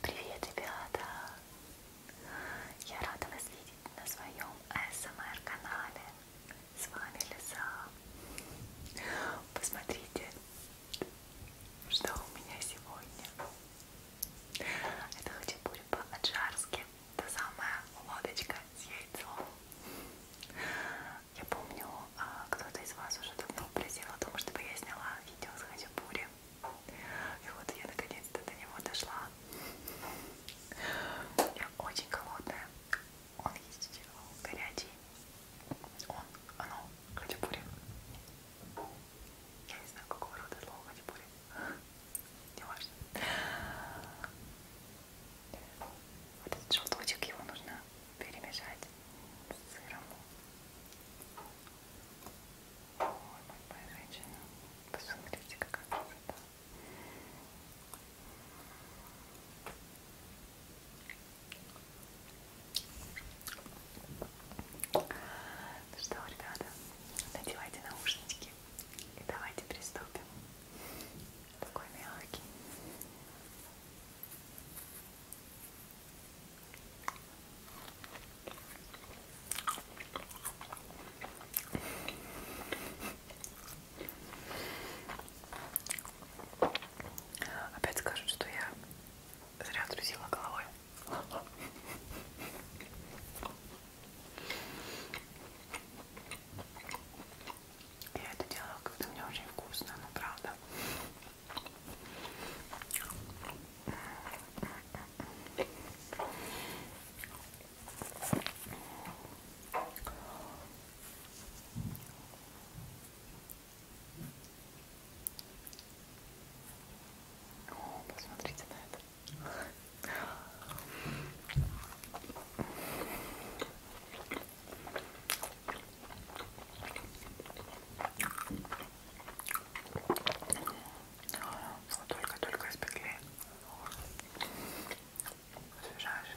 Привет, ребята! Я рада вас видеть на своем СМР-канале. С вами Лиза. Посмотрите, что у меня сегодня. Это хачапури по-аджарски. Та самая лодочка с яйцом. Я помню, а, кто-то из вас уже давно просил о том, чтобы я сняла видео с Хачапури. И вот я наконец-то до него дошла. Я очень голодная. Он есть горячий. Он, оно, Хачапури. Я не знаю, какого рода слово Хачапури. Не важно. Вот этот желточек, его нужно перемешать с сыром. Ой, моя женщина, посмотрите, какая красота. Ну что, ребята, надевайте наушнички и давайте приступим. Такой мягкий, Опять скажут, что я зря трусила головой. Я это делала, когда мне очень вкусно, ну правда. О, посмотрите на это. Ну, только-только испекли. Освежаешь.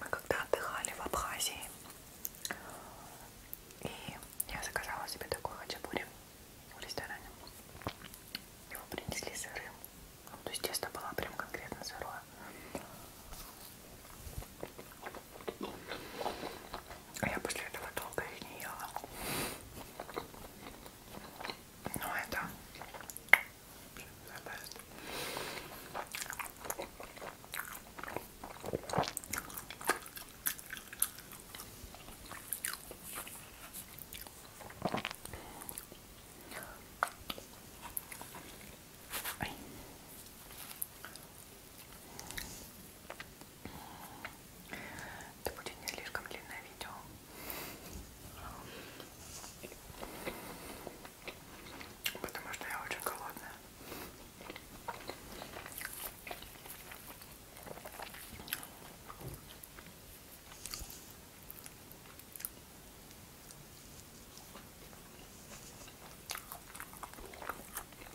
Мы когда отдыхали в Абхазии, и я заказала себе такой хачапури в ресторане. Его принесли сырым. Ну, то есть тесто было прям конкретно сырое. А я после этого долго их не ела. Но ну, это... Это будет не слишком длинное видео. Потому что я очень голодная.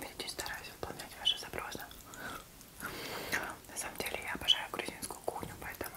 Видите, стараюсь выполнять ваши запросы. На самом деле я обожаю грузинскую кухню, поэтому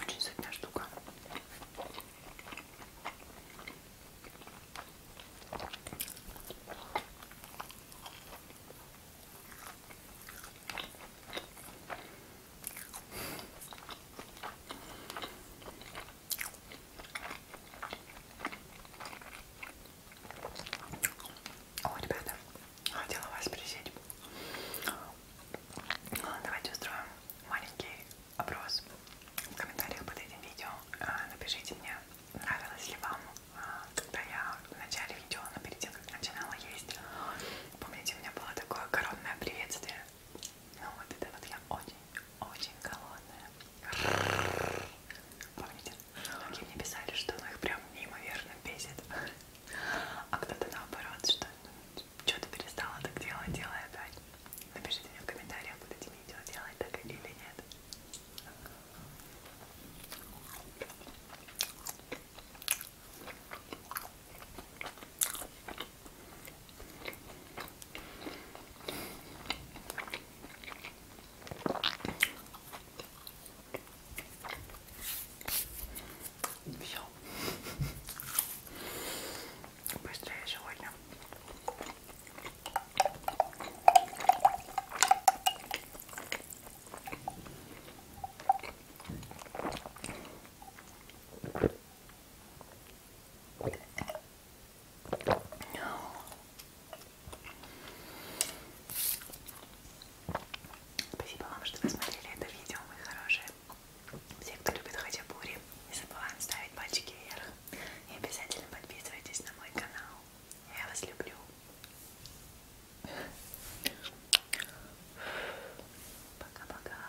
Очень сытная штука. О, ребята, хотела вас присесть. А, давайте устроим маленький опрос в комментариях под этим видео. А, напишите мне, нравилось ли вам, а, когда я в начале видео, но ну, перед тем, как начинала есть, помните, у меня было такое коронное приветствие. Ну вот это вот я очень-очень голодная. Помните? Многие мне писали, что ну, их прям неимоверно бесит. А кто-то наоборот, что что-то перестала так делать, делай опять. Напишите мне в комментариях, будете мне видео делать так или нет. Все. Быстрее сегодня. Спасибо вам, что вы смотрели это видео, мои хорошие. Все, кто любит хачапури, не забываем ставить пальчики вверх. И обязательно подписывайтесь на мой канал. Я вас люблю. Пока-пока.